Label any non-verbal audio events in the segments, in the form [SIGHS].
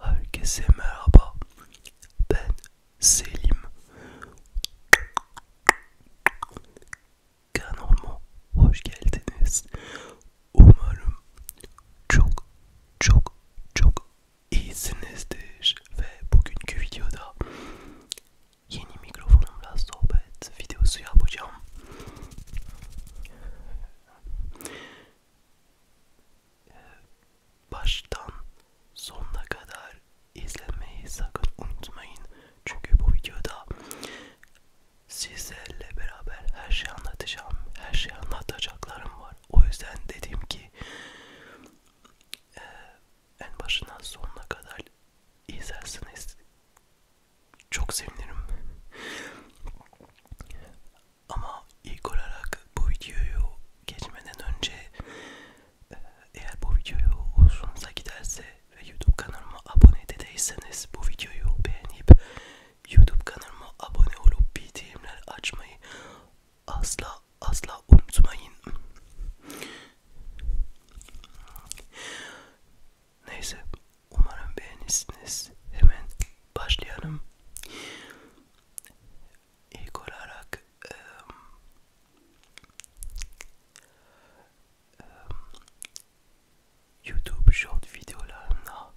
Herkese merhaba. Ben Selim. Kanalıma hoş geldiniz. Umarım çok çok çok iyisinizdir ve bugünkü videoda yeni mikrofonumla sohbet videosu yapacağım. Ee, baştan sonuna kadar izlemeyi sakın unutmayın çünkü bu videoda sizlerle beraber her şeyi anlatacağım, her şeyi anlatacaklarım var. O yüzden dedim ki e, en başından sonuna kadar izlersiniz. Çok sevinirim. Ama ilk olarak bu videoyu geçmeden önce eğer bu videoyu hoşunuza giderse ve YouTube kanalıma abone de değilseniz bu videoyu beğenip YouTube kanalıma abone olup bildirimler açmayı asla asla unutmayın. Neyse umarım beğenirsiniz. Hemen başlayalım. İlk olarak um, um, YouTube short videolarına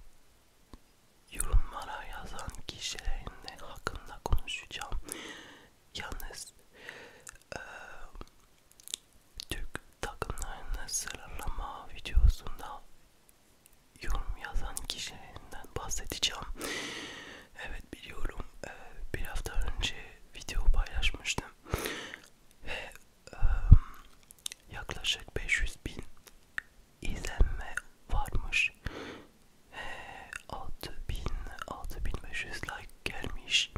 yorumlara yazan kişilerin hakkında konuşacağım. Yalnız e, Türk takımlarının sıralama videosunda yorum yazan kişilerinden bahsedeceğim. Evet biliyorum e, bir hafta önce video paylaşmıştım ve e, yaklaşık 500 bin izlenme varmış. E, 6000 6500 like gelmiş.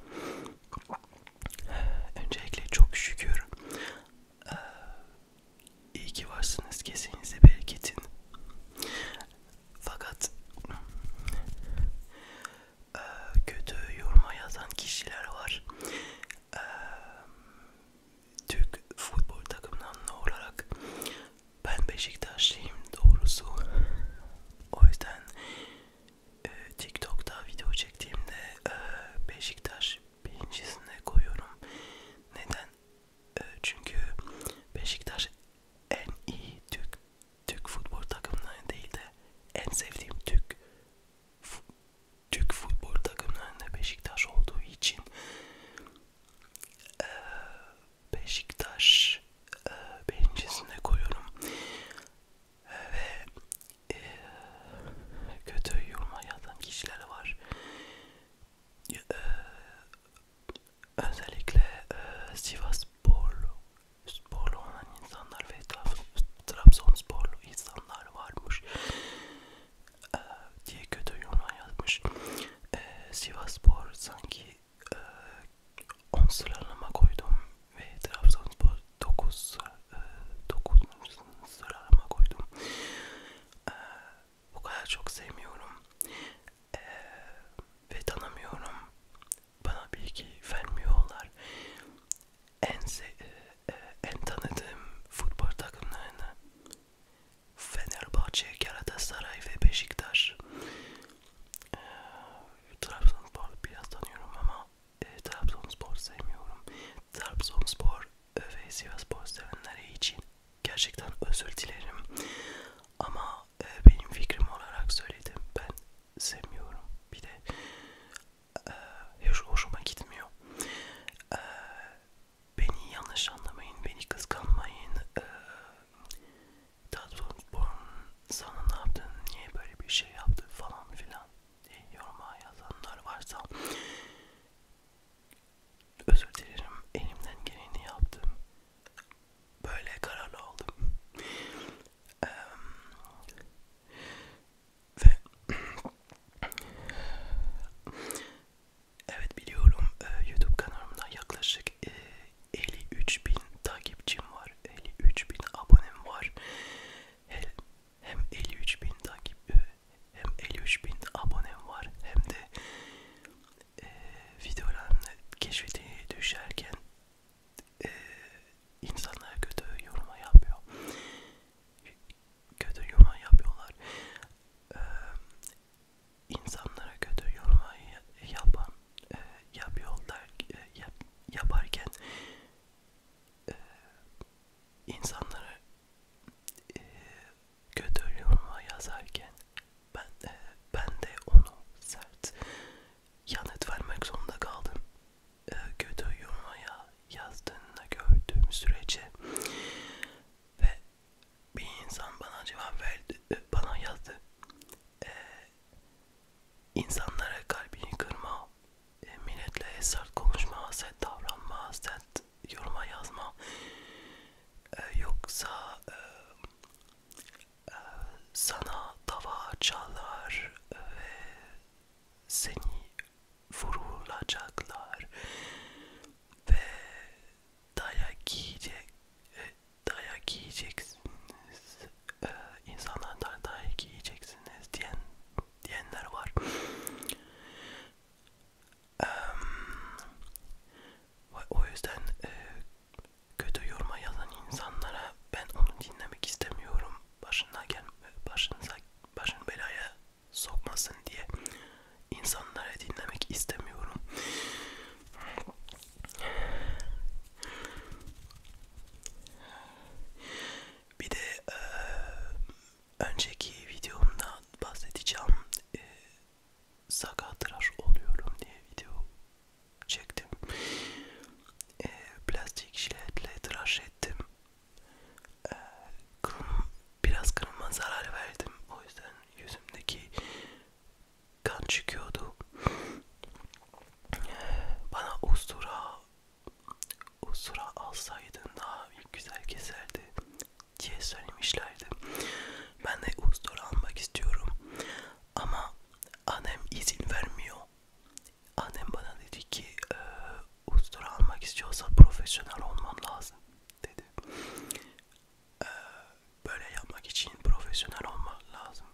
Ee, öncelikle çok şükür. E, iyi ki varsınız. Kesinize bereketin. Fakat e, kötü yoruma yazan kişiler var. E, Türk futbol takımından olarak ben Beşiktaşlıyım doğrusu. O yüzden e, TikTok'ta video çektiğimde e, Beşiktaş birincisine koyuyorum. Neden? E, çünkü Beşiktaş en iyi Türk Türk futbol takımlarından değil de en sevdiğim Türk Türk futbol takımlarında Beşiktaş olduğu için e, Beşiktaş e, bençesine koyuyorum ve e, kötü yoruma yazan kişiler var. E, özellikle e, Sivas sporlu, sporlu olan insanlar ve Trabzonsporlu insanlar varmış e, diye kötü yorumlar yazmış. E, ee, Sivaspor sanki e, 10 sıralama koydum ve Trabzonspor 9 e, 9 sıralama koydum. E, bu kadar çok sevmiyorum e, ve tanımıyorum. Bana bilgi vermiyorlar. En, e, e, en tanıdığım futbol takımlarını Fenerbahçe, Galatasaray ve Beşiktaş. Ee, Trabzonspor biraz tanıyorum ama e, Trabzonspor sevmiyorum. Trabzonspor ve Sivaspor sevenleri için gerçekten özür dilerim. Ama e, benim fikrim olarak söyledim. Ben sevmiyorum. Bir de e, hiç hoşuma gitmiyor. E, beni yanlış anlamayın, beni kıskanmayın. Ee, Tatlıspor'un sana ne yaptın, niye böyle bir şey yaptı falan filan diye yoruma yazanlar varsa özür dilerim, elimden geleni yaptım. Böyle kararlı oldum. ee, ve Evet biliyorum e, YouTube kanalımda yaklaşık e, 53 bin takipçim var, 53 bin abonem var. Hem 53 bin takip, e, hem 53 bin abonem var, hem de e, videoların keşfeti düşerken e, insanlar kötü yoruma yapıyor kötü yorum yapıyorlar. Ee, insanlara kötü yorum yapan e, yapıyorlar e, yap, yaparken e, insanlara e, kötü yorum yazarken ben e, ben de onu sert yanıt vermek zorunda kaldım. E, kötü yoruma yazdığını gördüğüm sürece ve bir insan bana cevap verdi, e, bana yazdı. Ee, insanlara kalbini kırma, e, milletle esart konuşma, haset davranma, haset yoruma yazma. Ee, yoksa e, e, sana tava çalar ve seni vurulacaklar ve dayak yiyecek e, dayak yiyeceksiniz ee, insanlardan dayak yiyeceksiniz diyen diyenler var ee, o yüzden e, kötü yoruma yazan insanlara ben onu dinlemek istemiyorum başına gel başınıza başın belaya sokmasın diye insanları dinlemek istemiyorum. Bir de e, önceki videomda bahsedeceğim e, sakatlar oluyorum diye video çektim. E, plastik jiletle tıraş ettim. E, kılım biraz kanıma zarar verdim. O yüzden yüzümdeki kan çıkıyordu. Bana ustura ustura alsaydın daha güzel keserdi diye söylemişlerdi. Ben de ustura almak istiyorum. Ama annem izin vermiyor. Annem bana dedi ki e, ustura almak istiyorsa profesyonel olman lazım dedi e, böyle yapmak için profesyonel olmak lazım.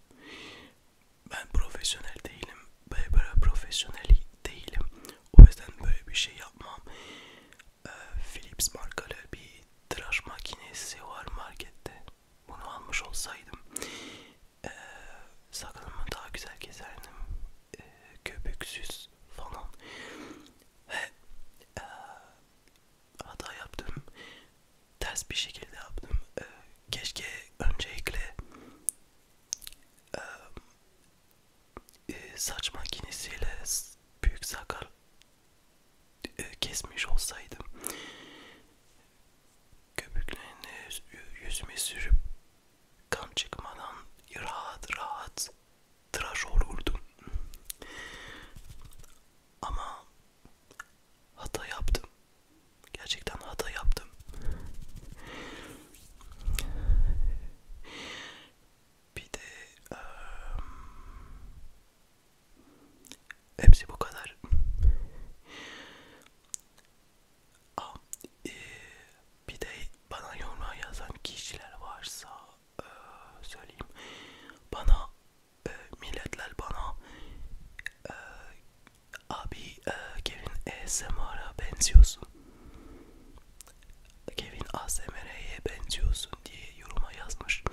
Ben profesyonel değilim. Böyle, böyle profesyonel değilim. O yüzden böyle bir şey yapmam. E, Philips markalı bir tıraş makinesi var markette. Bunu almış olsaydım e, sakalımı daha güzel keserdim. E, köpüksüz falan ve ee, e, hata yaptım. Ters bir şekilde yaptım. E, keşke öncelikle ee, e, saç makinesiyle büyük sakal e, kesmiş olsaydım. Köpüklerini yüzüme sürüp kan çıkmadan rahat rahat tıraş olurdum. Ama hata yaptım. Gerçekten hata yaptım. Bir de um, hepsi bu kadar. Aa, e, bir de bana yoruma yazan kişiler varsa e, söyleyeyim bana e, milletler bana e, abi e, Kevin ASMR'a benziyorsun Kevin ASMR'ye benziyorsun diye yoruma yazmış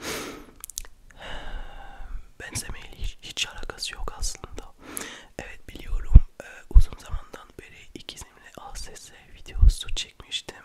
benzemeyle hiç, hiç alakası yok aslında evet biliyorum e, uzun zamandan beri ikizimle ASS videosu çekmiştim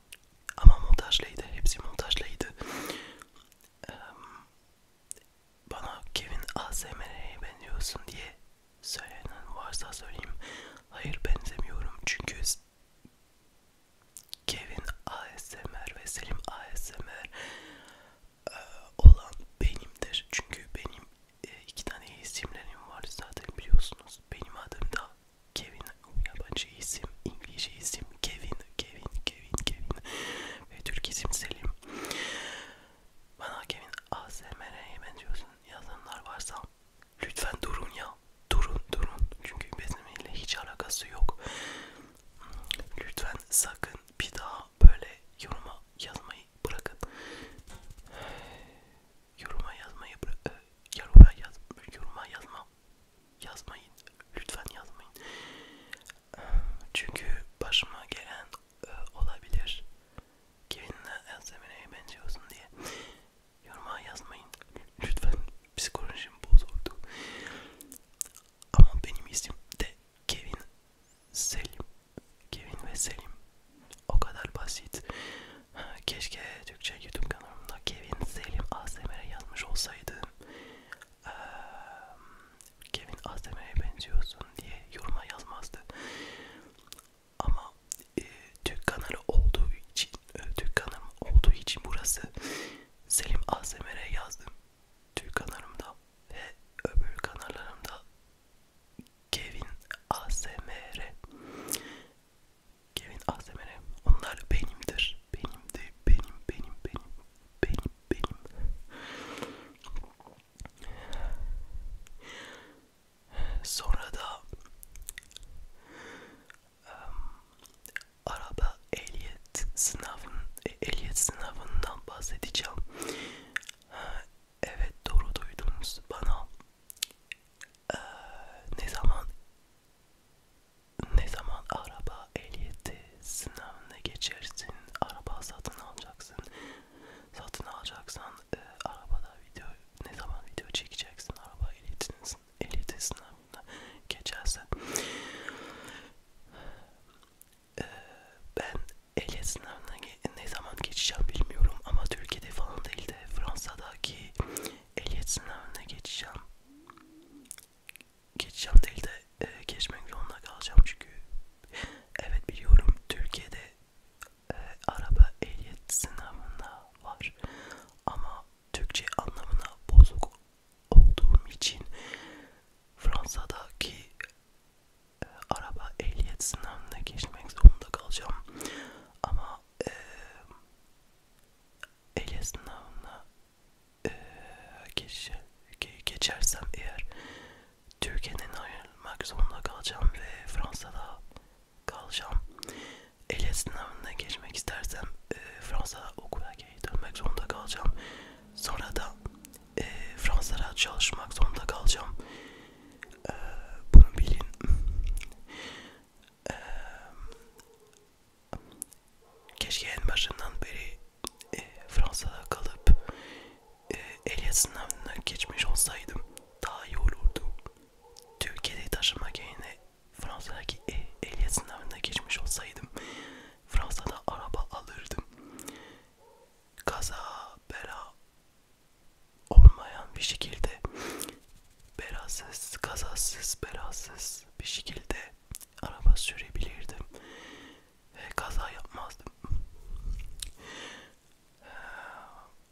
Ama montajlıydı. Hepsi montajlıydı. Ee, bana Kevin ASMR'ye benziyorsun diye söylenen varsa söyleyeyim. Hayır benzemiyorum çünkü Kevin ASMR ve Selim ASMR e, olan benimdir. Çünkü benim e, iki tane isimlerim var zaten biliyorsunuz. Benim adım da Kevin yabancı isim, İngilizce isim Kevin, Kevin, Kevin, Kevin ve Türk isim Selim. Bana Kevin ASMR'ye benziyorsun yazanlar varsa lütfen durun ya, durun, durun çünkü benimle hiç alakası yok. Lütfen sakın bir daha böyle yoruma yazmayı bırakın. Yoruma yazmayı bırak, e, yoruma yaz, yoruma yazma yazmayın. Lütfen yazmayın. Çünkü başıma gelen e, olabilir. Kiminle Elsemine'ye benziyorsun diye. Yoruma yazmayın. Lütfen psikolojim bozuldu. Ama benim isim de Kevin Selim. Kevin ve Selim. O kadar basit keşke Türkçe YouTube kanalımda Kevin Selim ASMR'e yazmış olsaydı ee, Kevin ASMR'e benziyorsun diye yoruma yazmazdı ama e, Türk kanalı olduğu için e, Türk kanalım olduğu için burası Selim ASMR'e yazdım Türk kanalımda ve öbür kanallarımda Kevin ASMR Kevin ASMR. Onlar benimdir. Benim de benim benim benim benim benim. Sonra da um, araba ehliyet sınavın e, ehliyet sınavından bahsedeceğim. Evet doğru duydunuz bana. Ee, ne zaman ne zaman araba ehliyeti sınavına geçersin, araba satın alacaksın. Satın alacaksan e, arabada video ne zaman video çekeceksin araba ehliyetinin ehliyeti sınavına geçerse. E, ben ehliyet sınavına ne zaman geçeceğim bilmiyorum ama Türkiye'de falan değil de Fransa'daki ehliyet sınavına geçeceğim. Geçeceğim değil de e, geçmek zorunda kalacağım çünkü evet biliyorum Türkiye'de e, araba ehliyet sınavında var ama Türkçe anlamına bozuk olduğum için Fransa'daki e, araba ehliyet sınavına geçmek zorunda kalacağım ama e, Ege sınavına e, geç, ge, geçersem eğer Türkiye'den ayrılmak zorunda kalacağım ve Fransa'da kalacağım. Ege sınavına geçmek istersem e, Fransa'da okula geri dönmek zorunda kalacağım. Sonra da e, Fransa'da çalışmak zorunda kalacağım. E, bunu bilin. E, keşke en başından beri e, Fransa'da kalıp e, ehliyet sınavına geçmiş olsaydım daha iyi olurdu. Türkiye'de taşımak yerine Fransa'daki e, ehliyet sınavına geçmiş olsaydım Fransa'da araba alırdım. Kaza, bela olmayan bir şekilde belasız, kazasız, belasız bir şekilde araba sürebilirdim ve kaza yapmazdım. Ee,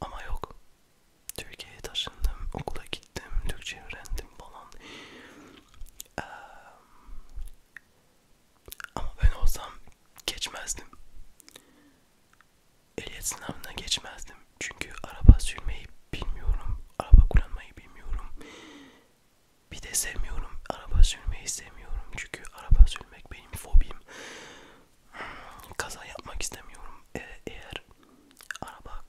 ama yok. Türkiye'ye taşındım, okula gittim, Türkçe öğrendim falan. Ee, ama ben olsam geçmezdim. Ehliyet sınavına geçmezdim. Çünkü araba sürmeyi bilmiyorum, araba kullanmayı bilmiyorum. Bir de sevmiyorum, araba sürmeyi sevmiyorum. Çünkü araba sürmek benim fobim. Hmm, kaza yapmak istemiyorum. Ee, eğer araba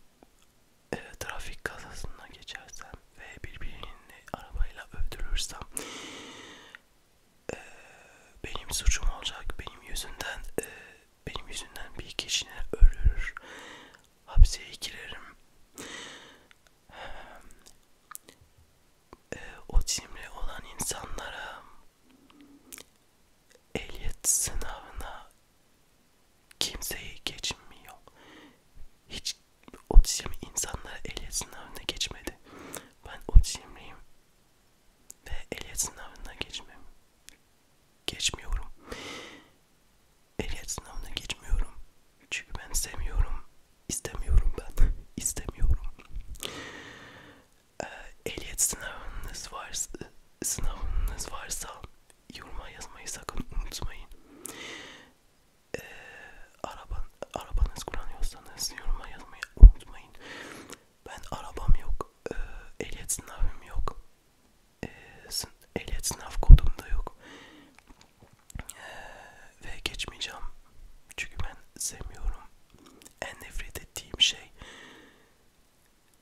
e, trafik kazasına geçersem ve birbirini arabayla öldürürsem e, benim suçum olacak. Benim yüzümden e, benim yüzümden bir kişinin ölür hapseye girerim. E, otizmli olan insanlara ehliyet sınavına kimseyi geçmiyor. Hiç otizmli insanlar ehliyet sınavına geçmedi. Ben otizmliyim ve ehliyet sınavına geçmem geçmiyorum. Ehliyet sınavına geçmiyorum. Çünkü ben sevmiyorum. İstemiyorum ben. [LAUGHS] İstemiyorum. Ee, ehliyet sınavınız varsa, sınavınız varsa yoruma yazmayı sakın unutmayın. Ee, araban, arabanız kullanıyorsanız yoruma yazmayı unutmayın. Ben arabam yok. Ee, ehliyet sınavım yok e, sın ehliyet sınav kodumda yok e, ve geçmeyeceğim çünkü ben sevmiyorum en nefret ettiğim şey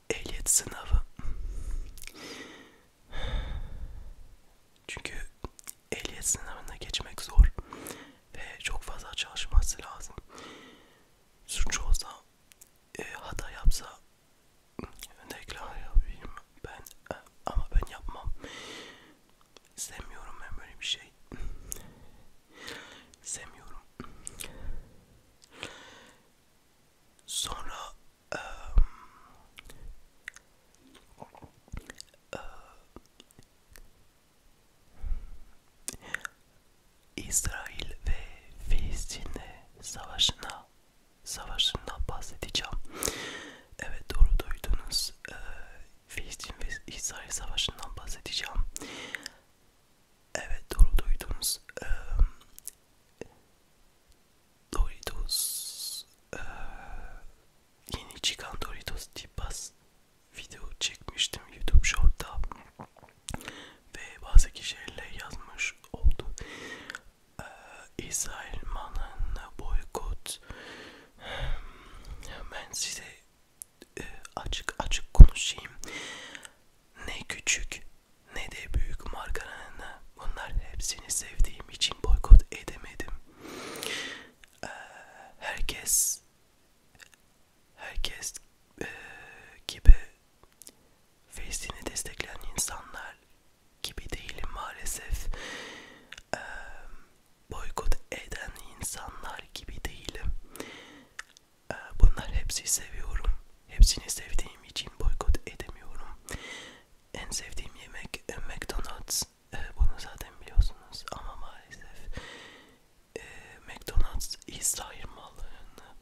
ehliyet sınavı çünkü ehliyet sınavına geçmek zor ve çok fazla çalışması lazım suç olsa e, hata yapsa reklam hmm, yapayım ben e, ama ben yapmam sevmiyorum ben böyle bir şey sevmiyorum [LAUGHS] sonra e, e, İsrail ve Filistin'de savaşına Savaşı'ndan bahsedeceğim. Evet doğru duydunuz. Ee, Filistin ve İsrail Savaşı'ndan bahsedeceğim. Evet doğru duydunuz. Ee, Doritos ee, yeni çıkan Doritos Tipas video çekmiştim YouTube Short'ta ve bazı kişilerle yazmış oldu e, İsrailman'ın boykot ben size e, açık açık konuşayım ne küçük ne de büyük markaların bunlar hepsini sevdiğim için boykot edemedim e, herkes herkes e, gibi Filistin'i destekleyen insanlar gibi değilim maalesef. Ee, boykot eden insanlar gibi değilim. Ee, bunlar hepsi seviyorum. Hepsini sevdiğim için boykot edemiyorum. En sevdiğim yemek e, McDonald's. Ee, bunu zaten biliyorsunuz ama maalesef e, McDonald's İsrail mallarını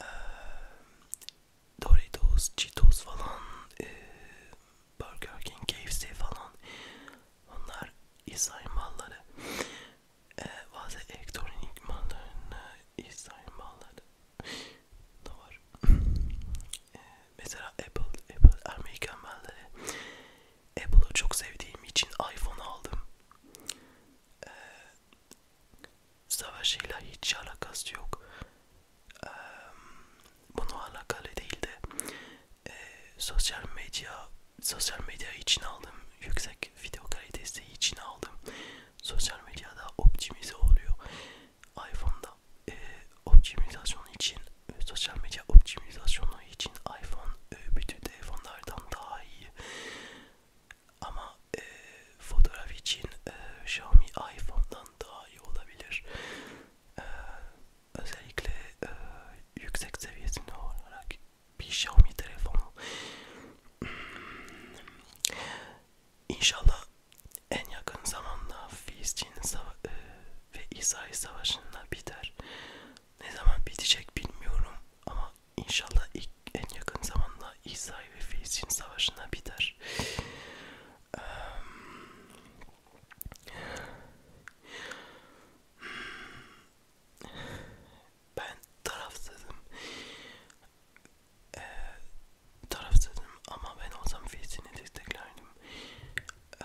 e, Doritos, Cheetos falan, e, Burger King, KFC falan onlar İsrail malları. E, bazı elektronik mallarına İsrail malları da var. E, mesela Apple, Apple Amerikan malları. Apple'ı çok sevdiğim için iPhone aldım. E, savaşıyla hiç alakası yok. Ee, bunu alakalı değil de e, sosyal medya sosyal medya için aldım yüksek video kalitesi için aldım sosyal medyada optimize oluyor iPhone'da e, optimizasyon için e, sosyal medya optimizasyonu için iPhone e, bütün telefonlardan daha iyi ama e, fotoğraf için e, Xiaomi iPhone'dan daha iyi olabilir. E, özellikle e, yüksek seviyesinde olarak bir Xiaomi telefonu. Hmm. İnşallah en yakın zamanda Filistin e, ve İsrail Savaşı'nda biter. Ne zaman bitecek bilmiyorum ama İnşallah ilk, en yakın zamanda İsrail ve Filistin savaşına biter. Ee, ben tarafsızım. Ee, tarafsızım ama ben olsam Filistin'i desteklerdim. Ee,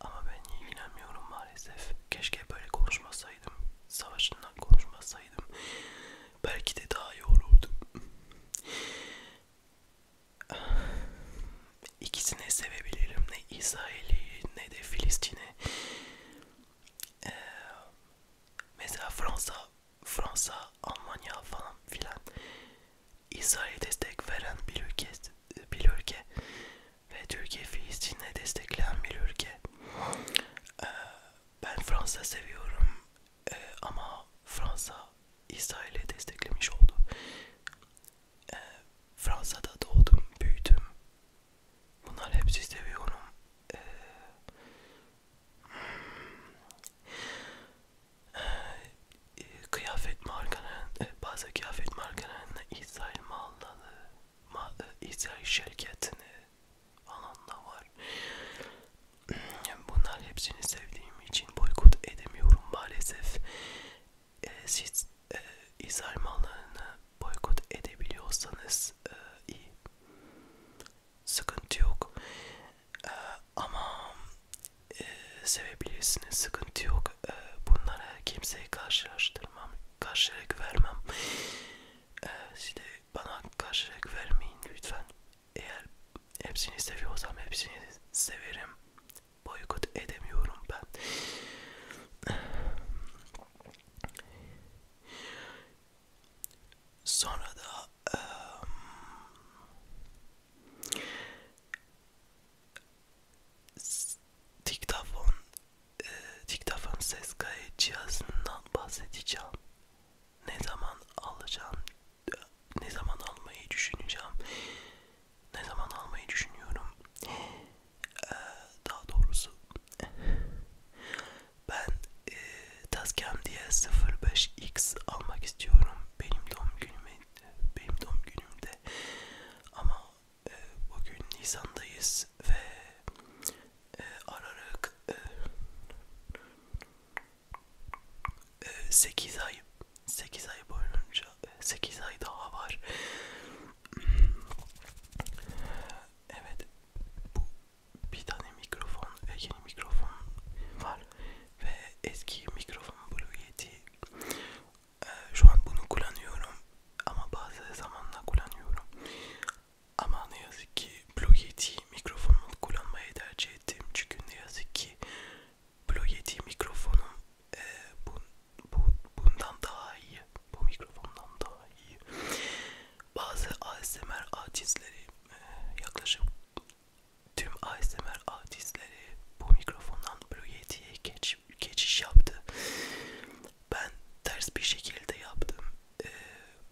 ama ben ilgilenmiyorum maalesef. Keşke böyle konuşmasaydım. Savaşından konuşmasaydım belki de daha iyi olurdu. İkisini sevebilirim. Ne İsrail'i ne de Filistin'i. Ee, mesela Fransa, Fransa, Almanya falan filan İsrail'e destek veren bir ülke, bir ülke ve Türkiye Filistin'e destekleyen bir ülke. Ee, ben Fransa seviyorum ee, ama Fransa İsrail'i desteklemiş oldu. Ee, Fransa'da doğdum, büyüdüm. Bunlar hepsi seviyorum. Ee, e, kıyafet markanın, e, bazı kıyafet markalarının İsrail malları, ma, e, İsrail şirketini falan da var. Bunlar hepsini sevdiğim için boykot edemiyorum maalesef. E, siz e, izah mallarını boykot edebiliyorsanız e, iyi. Sıkıntı yok. E, ama e, sevebilirsiniz. Sıkıntı yok. E, bunlara kimseyi karşılaştırmam. Karşılık vermem. E, size bana karşılık vermeyin lütfen. Eğer hepsini seviyorsam hepsini severim. Boykot edemiyorum ben. Sonra da um, diktafon e, diktafon ses kayıt cihazından bahsedeceğim. Ne zaman alacağım, ne zaman almayı düşüneceğim, ne zaman almayı düşünüyorum. E, daha doğrusu ben e, Tascam diye 05X almak istiyorum. Benim doğum günüme, benim doğum günümde ama e, bugün Nisan'dayız ve e, aralık e, 8 e, ay 8 ay boyunca 8 e, ay daha var. Evet. Bu bir tane mikrofon ve yeni mikrofon var ve eski mikrofon Blue Yeti. Ee, şu an bunu kullanıyorum ama bazı zamanla kullanıyorum. Ama ne yazık ki Blue Yeti mikrofonunu kullanmayı tercih ettim. Çünkü ne yazık ki Blue Yeti mikrofonum e, bu, bu, bundan daha iyi. Bu mikrofondan daha iyi. Bazı ASMR artistleri e, yaklaşık tüm ASMR artistleri bu mikrofondan Blue Yeti'ye geç, geçiş yaptı. Ben ters bir şekilde yaptım. E,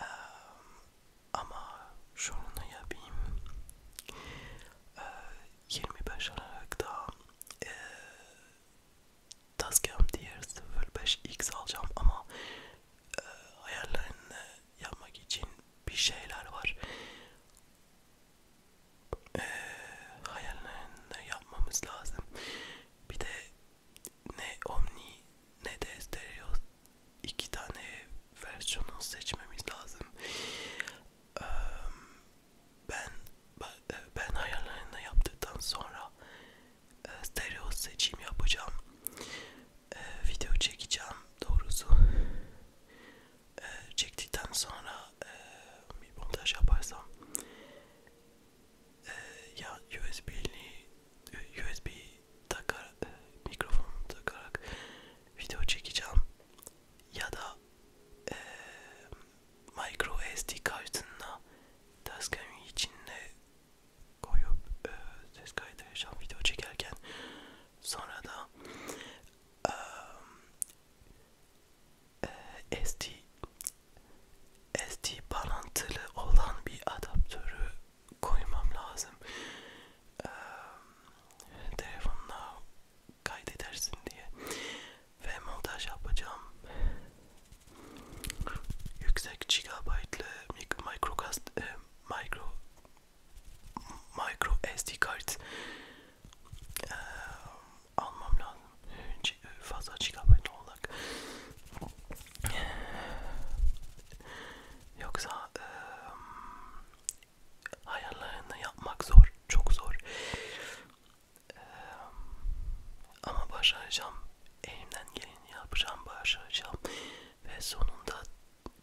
Ee, ama şunu yapayım. Ee, 25 Aralık'ta e, Tascam diğer 05X alacağım ama e, ayarlarını yapmak için bir şeyler var. E, hayallerini yapmamız lazım. Bir de ne Omni ne de stereo iki tane versiyonu seçmemiz lazım. Ee, ben ben ayarlarını yaptıktan sonra e, stereo seçim yapacağım. E, video çekeceğim doğrusu. E, çektikten sonra e, bir montaj yaparsam e, ya USB'li USB takar, e, mikrofonumu takarak video çekeceğim ya da e, micro SD kartına taskamı içinde koyup e, ses kaydı yaşam video çekerken sonra da e, e, SD SD bağlantılı olan bir adaptörü koymam lazım. Ee, telefonla kaydedersin diye ve montaj yapacağım. Yüksek gigabaytlı micro e, micro micro SD kart ee, almam lazım. Fazla gigabayt olarak Yoksa e, hayallerini yapmak zor, çok zor. E, ama başaracağım, elimden geleni yapacağım, başaracağım ve sonunda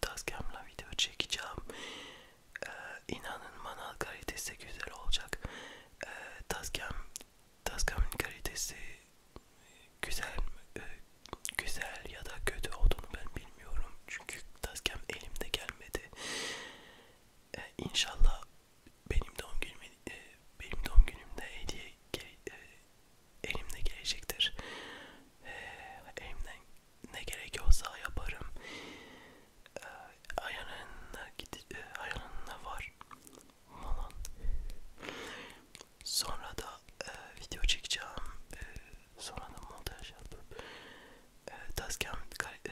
taskamla video çekeceğim. E, inanın bana kalitesi güzel olacak. E, tascam, tascamın kalitesi güzel, e, güzel ya da kötü olduğunu ben bilmiyorum çünkü taskem elimde gelmedi. Ee, inşallah benim doğum günümde e, benim doğum günümde hediye e, elimde gelecektir. Ee, elimden ne gerekiyorsa yaparım. Ee, ayağının gidi e, ayağının e, var. Malan. Sonra da e, video çekeceğim. E, sonra da montaj yapıp e, tascam, e,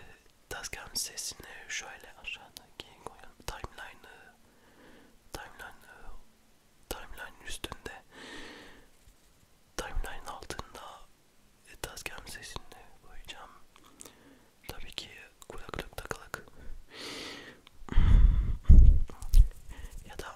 tascam sesini şöyle aşağıdaki koyalım. Timeline'ı timeline'ı timeline üstünde timeline altında e, tascam sesini koyacağım. Tabii ki kulaklık takılık [LAUGHS] ya da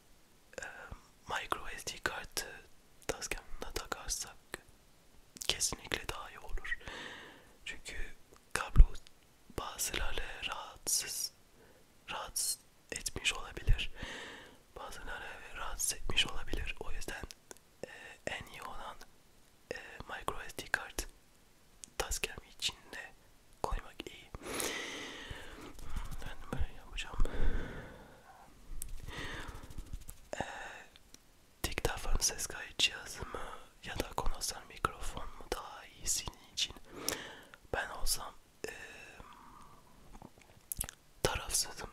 e, micro SD kartı taskamına takarsak kesinlikle daha iyi olur. Çünkü kablo bazıları rahatsız rahatsız etmiş olabilir. Bazıları rahatsız etmiş olabilir. O yüzden e, en iyi olan e, micro SD kart taskem içinde koymak yemek iyi. Ben böyle yapacağım. Ee, tek tarafın ses kayıt cihazı mı ya da konuşan mikrofon mu daha iyi senin için? Ben olsam e, tarafsızım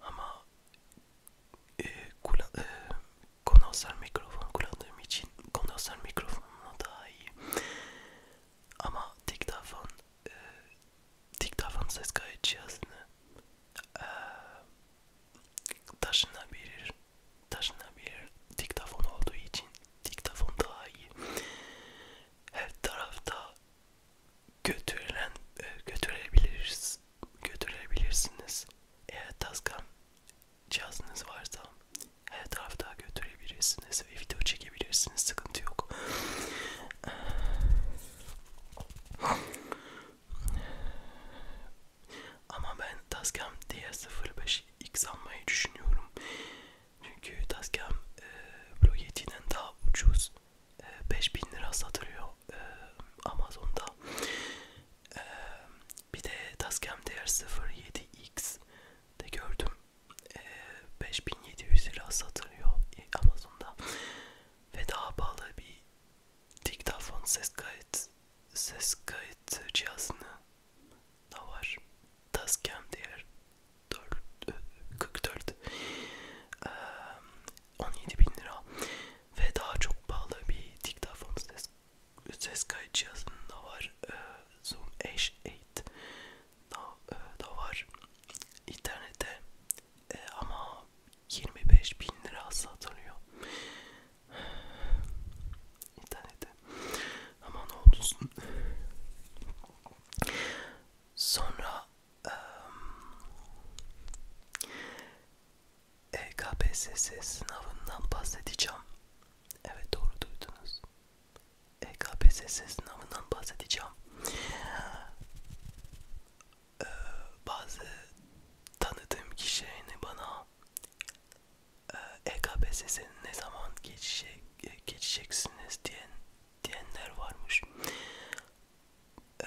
ama e, kula, e, konuşan mikrofon kullandığım için konuşan mikrofonla daha iyi. Ama diktafon e, diktafon ses kayıt cihazını e, taşınabilir taşınabilir diktafon olduğu için diktafon daha iyi her tarafta götürülen e, götürebiliriz götürebilirsiniz eğer taskan cihazınız varsa her tarafta götürebilirsiniz ve video çekebilirsiniz. Sıkıntı yok. Ama ben Tascam DR05 X almayı düşünüyorum. Çünkü Tascam e, Pro 7'den daha ucuz. E, 5000 lira satılıyor e, Amazon'da. E, bir de Tascam DR07X de gördüm e, ee, 5700 lira satılıyor Amazon'da ve daha pahalı bir diktafon ses kayıt ses kayıt cihazını da var. Tascam diğer 4, 44 e, 17 bin lira ve daha çok pahalı bir diktafon ses ses kayıt cihazında var. Ee, Zoom H8 da, e, da var internette e, ama 25 bin lira satılıyor internette ama ne olursun sonra e, KPSS sınavından bahsedeceğim evet doğru duydunuz e KPSS sınavından bahsedeceğim. Ee, bazı tanıdığım kişilerini bana EKPSS e ne zaman geçecek, e, geçeceksiniz diyen diyenler varmış. Ee,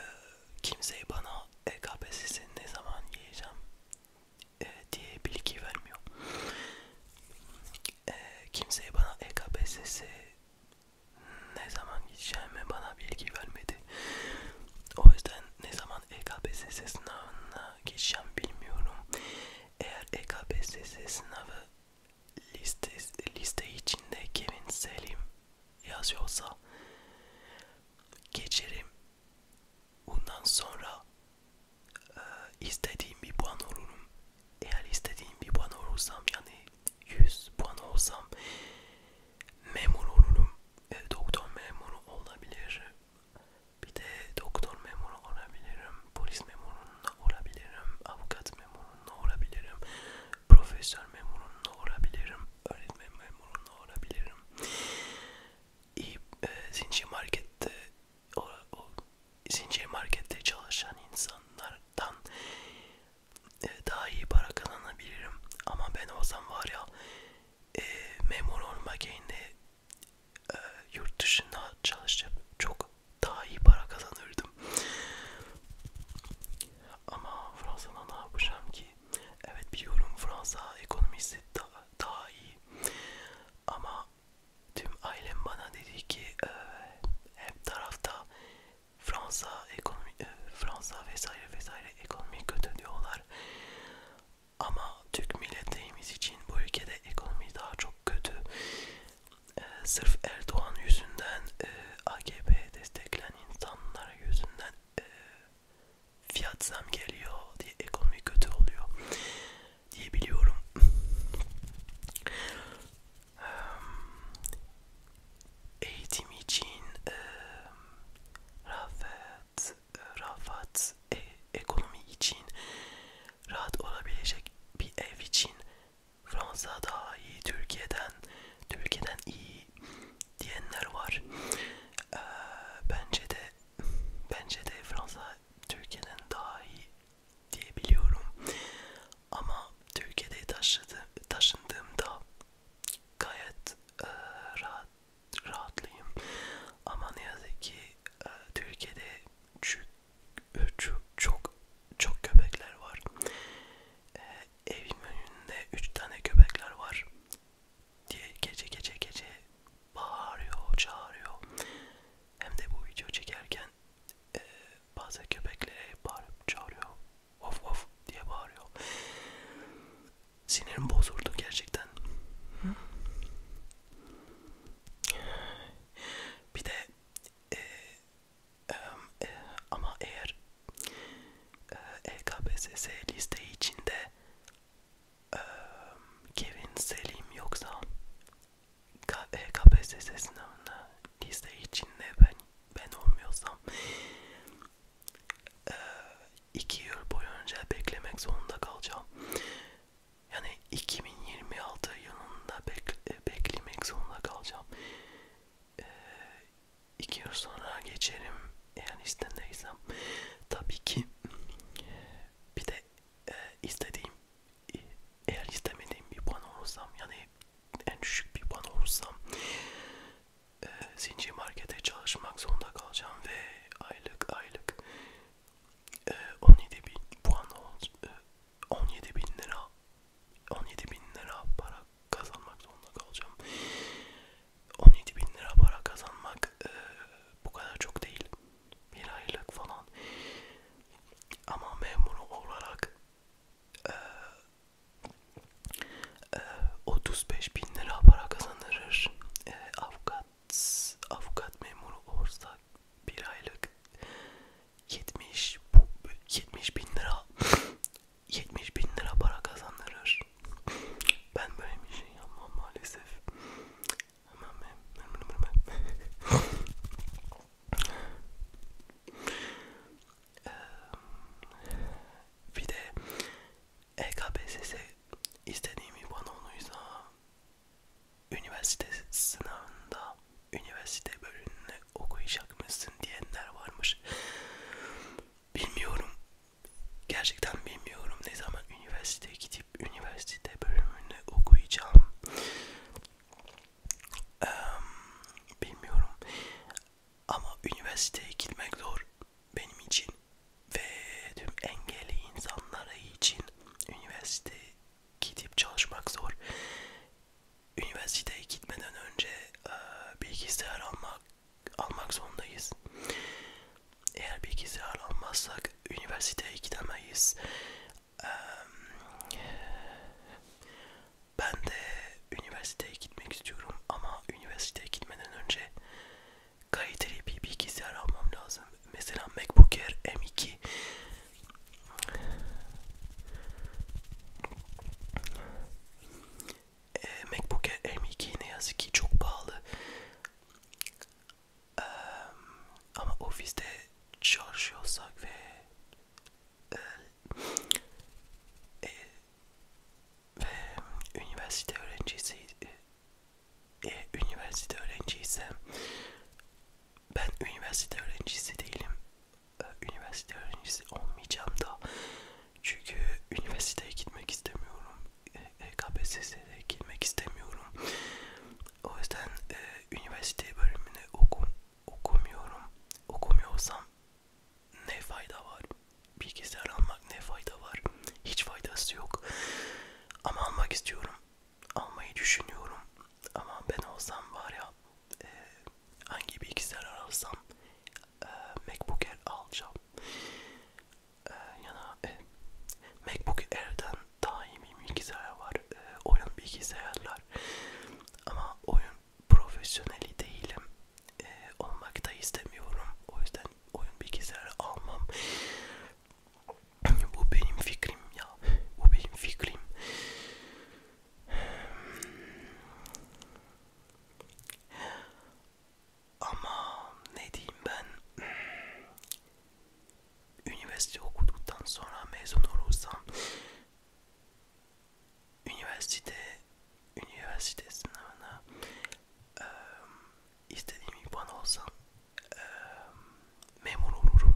kimseyi bana EKPSS ne zaman yiyeceğim e, diye bilgi vermiyor. Ee, e, kimseye bana EKPSS ne zaman gideceğimi bana bilgi vermedi. O yüzden ne zaman EKPSS sınavına geçeceğim bilmiyorum. Eğer EKPSS sınavı liste, liste içinde Kevin Selim yazıyorsa geçerim. Bundan sonra ee, istediğim bir puan olurum. Eğer istediğim bir puan olursam yani 100 puan olsam memur olurum. E, doktor memuru olabilir. Bir de doktor memuru olabilirim. Polis memurunda olabilirim. Avukat memurunda olabilirim. Profesör memurunda olabilirim. Öğretmen memurunda olabilirim. İyi e, zincir markette o, o zincir markette çalışan insanlardan e, daha iyi para kazanabilirim ama ben olsam var ya e, memur olmak yerine e, yurt dışında çalışıp çok daha iyi para kazanırdım ama Fransa'da ne yapacağım ki evet biliyorum Fransa ekonomisi daha, daha iyi ama tüm ailem bana dedi ki e, hep tarafta Fransa ekonomi e, Fransa vesaire vesaire ekonomi kötü diyorlar. Ama Türk milletimiz için bu ülkede ekonomi daha çok kötü. E, sırf Erdoğan yüzünden e, AKP desteklen insanlar yüzünden e, fiyat zam geliyor diye ekonomi kötü oluyor diye biliyorum. Ehm, eğitim için e, ehm, rahat, rahat e, ekonomi için rahat olabilecek bir ev için Fransa daha iyi Türkiye'den, Türkiye'den iyi diyenler var. E, bence de bence de Fransa Türkiye'den daha iyi diyebiliyorum. Ama Türkiye'de taşıdı, taşındığımda gayet e, rahat rahatlıyım. Ama ne yazık ki e, Türkiye'de çok, e, çok çok köpekler var. E, evin önünde üç tane köpekler var. Diye gece gece gece bağırıyor, çağırıyor. Hem de bu video çekerken e, ee, bazı köpeklere bağırıp çağırıyor. Of of diye bağırıyor. Sinirim bozuldu gerçekten. Hı? Bir de e, e, e, ama eğer e, EKPSS liste içinde e, Kevin Selim yoksa KPSS e, sınavında liste içinde ben ben olmuyorsam e, iki yıl boyunca beklemek zorunda kalacağım. Yani 2026 yılında bekle, beklemek zorunda kalacağım. E, iki yıl sonra geçerim eğer istendeysem. Tabii ki bir de e, istediğim eğer istemediğim bir puan olursam yani en düşük bir puan olursam e, zincir markete çalışmak zorunda kalacağım ve aylık aylık e, 17 bin puan e, 17 bin lira 17 bin lira para kazanmak zorunda kalacağım 17 bin lira para kazanmak e, bu kadar çok değil bir aylık falan ama memuru olarak e, e, 35 bin lira para kazanırır e, avukat avukat memuru olursa bir aylık 70 70 bin lira 70 [LAUGHS] bin lira para kazanırır ben böyle bir şey yapmam maalesef bir de EKPSS istediğimi bana onuysa üniversite sınavında üniversite bölümünü okuyacak mısın diyenler varmış. Bilmiyorum. Gerçekten bilmiyorum ne zaman üniversiteye gidip üniversite bölümünü okuyacağım. Ee, bilmiyorum. Ama üniversiteye gitmek zor benim için ve tüm engelli insanlara için üniversiteye gidip çalışmak zor. Üniversiteye gitmeden önce e, bilgisayar almak almak zorundayız. Eğer bilgisayar almazsak üniversiteye gidemeyiz. Ben de üniversiteye gitmek istiyorum ama üniversiteye gitmeden önce kaliteli bir bilgisayar almam lazım. Mesela MacBook Air M2 e, MacBook Air M2 ne yazık ki çok pahalı. Ee, ama ofiste çalışıyorsak ve e, e, ve üniversite öğrencisi e, üniversite öğrenciysem ben üniversite öğrencisi değilim. Ee, üniversite öğrencisi olmayacağım da çünkü üniversiteye gitmek istemiyorum. E, KPSS'ye girmek istemiyorum. O yüzden e, üniversite bölümünü okum, okumuyorum. Okumuyorsam ne fayda var? Bilgisayar almak ne fayda var? Hiç faydası yok. Ama almak istiyorum. Almayı düşünüyorum. Ama ben olsam var ya e, hangi bilgisayar alsam e, MacBook Air alacağım. E, ya da e, MacBook Air'den daimi bilgisayar var, e, oyun bilgisayarlar ama oyun profesyoneli değilim, e, olmak da istemiyorum. O yüzden oyun bilgisayarı almam. Bu benim fikrim ya, bu benim fikrim. Ama ne diyeyim ben üniversite okuduktan sonra mezun olursam üniversite üniversite sınavına e, istediğim puan olsam e, memur olurum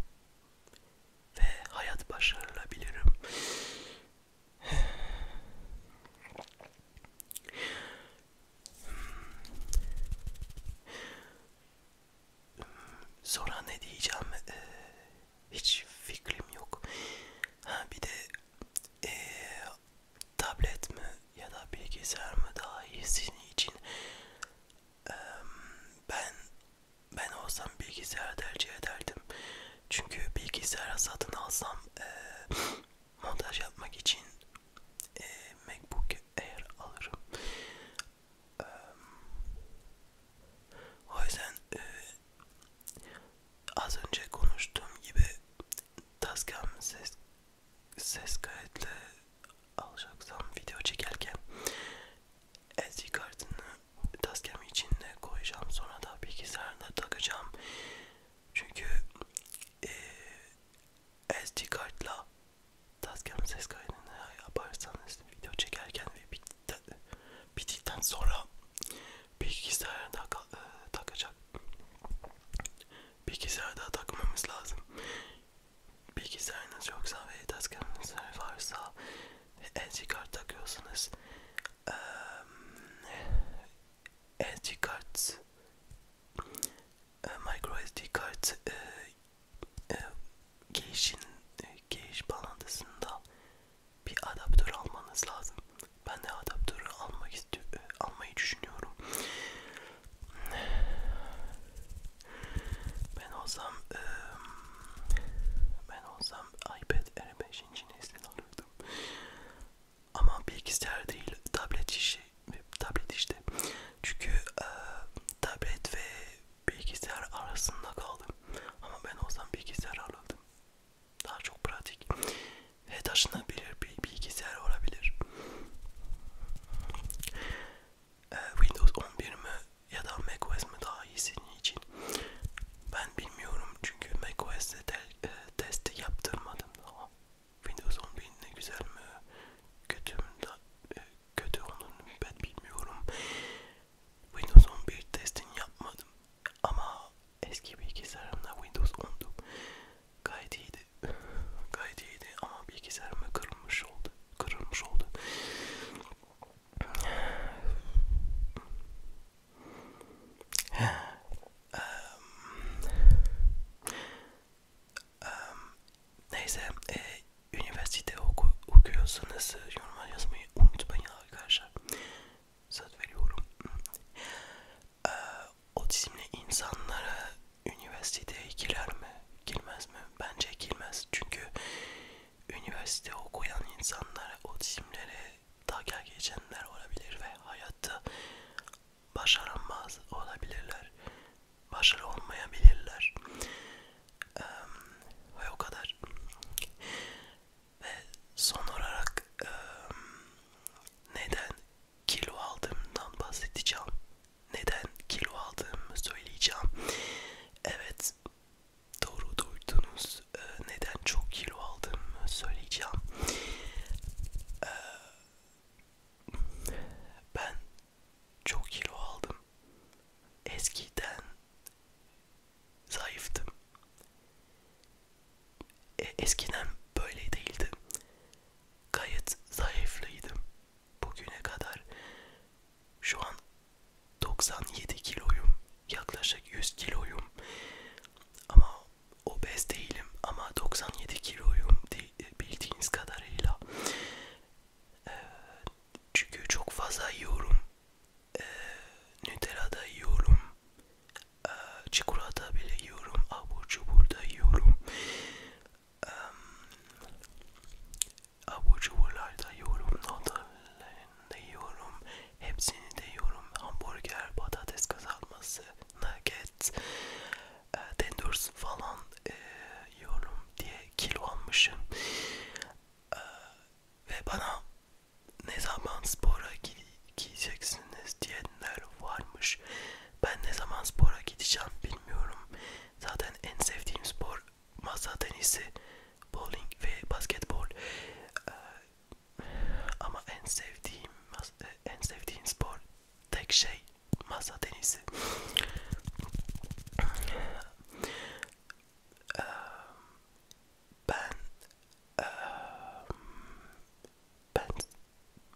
ve hayat başarılabilirim. Sonra ne diyeceğim ee, hiç fikrim yok. Ha bir de ee, tablet mi ya da bilgisayar mı daha iyi senin için? Ee, ben ben olsam bilgisayar tercih ederdim. Çünkü bilgisayar satın alsam ee, montaj yapmak için ee, MacBook Air alırım. Ee, o yüzden e, az önce konuştuğum gibi Tascam ses, ses kayıtlı alacaksam video çekerken SD kartını Tascam içinde koyacağım sonra da bilgisayarına takacağım çünkü e, SD kartla Taskamın ses kaydını yaparsanız video çekerken ve bitti, bittikten sonra bilgisayarda e, takacak. Bilgisayarda takmamız lazım. Bilgisayarınız yoksa ve taskamınız varsa SD kart takıyorsanız SD ehm, kart e, micro SD kart e, e, geyişin e, geyiş bağlantısında bir adaptör almanız lazım. Ben de adaptörü almak istiyorum, e, almayı düşünüyorum. Ben olsam ben olsam iPad R5. nesil alırdım. Ama bilgisayar değil, tablet işi, tablet işte. Çünkü tablet ve bilgisayar arasında kaldım. Ama ben olsam bilgisayar alırdım. Daha çok pratik ve taşınabilir bir bilgisayar olabilir. Ee, Windows 11 mi ya da macOS mi daha iyi senin için? Ben bilmiyorum çünkü macOS'te e, testi yaptırmadım daha. Windows 11 ne güzel mi? Kötü mü? Da, e, kötü onun ben bilmiyorum. Windows 11 testini yapmadım ama eski bilgisayarımda Windows 10'du. Gayet iyiydi. Gayet iyiydi ama bilgisayarım kırılmış oldu. Kırılmış oldu. Neyse e, üniversite oku, okuyorsanız e, yorumlar yazmayı unutmayın arkadaşlar. Söz veriyorum. E, otizmli insanlara üniversiteye girer mi? Girmez mi? Bence girmez. Çünkü üniversite okuyan insanlara otizmlere takar geçenler olabilir ve hayatta başaramaz olabilirler başarı olmayabilirler. Ee, ve o kadar. Ve son olarak e, neden kilo aldığımdan bahsedeceğim. Neden kilo aldığımı söyleyeceğim. Evet doğru duydunuz. Ee, neden çok kilo aldığımı söyleyeceğim. Ee, ben çok kilo aldım. Eskiden zayıftım. E, eskiden böyle değildi. Gayet zayıflıydım bugüne kadar. Şu an 97 kiloyum. Yaklaşık 100 kiloyum. Ama obez değilim ama 97 kiloyum e, bildiğiniz kadarıyla ee, çünkü çok fazla yiyorum. Ee, Nutella da yiyorum. Ee, çikolata bile yiyorum. Abur cubur da yiyorum. Ee, abur cuburlar da yiyorum. Notalarını da yiyorum. Hepsini de yiyorum. Hamburger, patates kızartması, nugget, e, tenders falan e, yiyorum diye kilo almışım e, ve bana ne zaman spora gideceksiniz diyenler varmış. Ben ne zaman spora gideceğim bilmiyorum. Zaten en sevdiğim spor masa tenisi, bowling ve basketbol. E, ama en sevdiğim e, en sevdiğim spor tek şey Masa Denizi. ee, ben ee, ben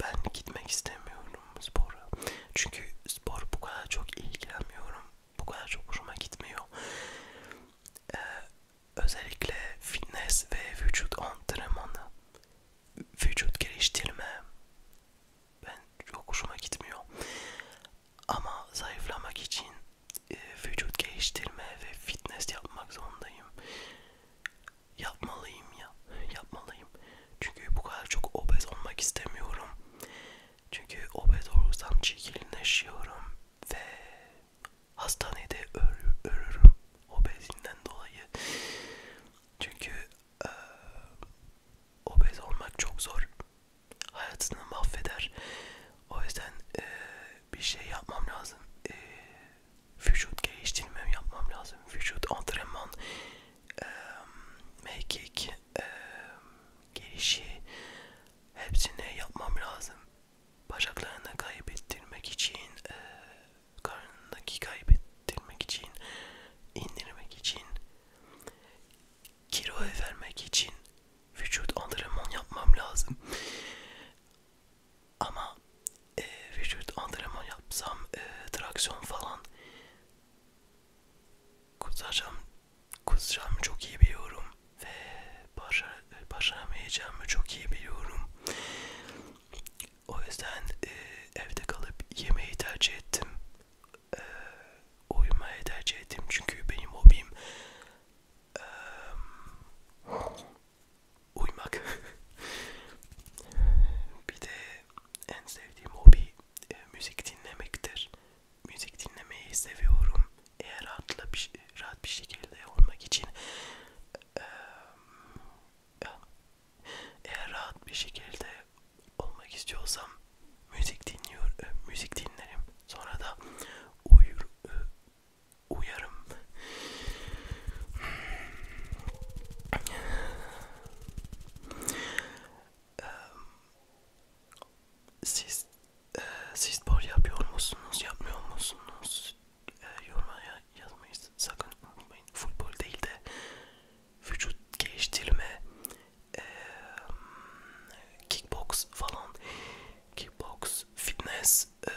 ben gitmek istemiyorum spora. Çünkü spor bu kadar çok ilgilenmiyorum. Bu kadar çok hoşuma gitmiyor. Ee, özellikle fitness ve vücut antrenmanı, vücut geliştirme ben çok hoşuma gitmiyor. Ama zayıflamak için e, vücut geliştirme ve fitness yapmak zorundayım. Yapmalıyım ya, yapmalıyım. Çünkü bu kadar çok obez olmak istemiyorum. Çünkü obez olursam çirkinleşiyorum ve hastanede ölür, ölürüm obezimden dolayı. Çünkü e, obez olmak çok zor. Hayatını mahveder. O yüzden e, bir şey yapmam lazım. E, vücut geliştirmem yapmam lazım. Vücut antrenman, e, mekik, e, gelişi hepsini yapmam lazım. Bacaklarını kaybettirmek için, e, karnındaki kaybettirmek için, indirmek için kiloya vermek için vücut antrenman yapmam lazım. Ama e, vücut antrenman yapsam e, traksiyon falan kusacağım, kusacağım çok iyi biliyorum ve başar, başaramayacağımı çok iyi biliyorum. O yüzden e, evde kalıp yemeği tercih ettim e, uyumaya tercih ettim çünkü benim hobim e, uyumak. [LAUGHS] bir de en sevdiğim hobi e, müzik dinlemektir. Müzik dinlemeyi seviyorum. Eğer rahatla bir, rahat bir şekilde olmak için e, eğer rahat bir şekilde olmak istiyorsam müzik dinliyor, e, müzik dinlerim. Sonra da uyur, e, uyarım. Siz e, siz spor yapıyor musunuz, yapmıyor musunuz? Yoruma yazmayı sakın unutmayın. Futbol değil de vücut geliştirme e, kickbox falan, kickbox, fitness e,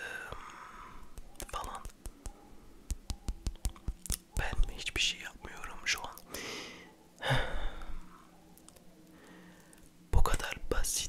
falan. Ben hiçbir şey yapmıyorum şu an. [SIGHS] Bu kadar basit.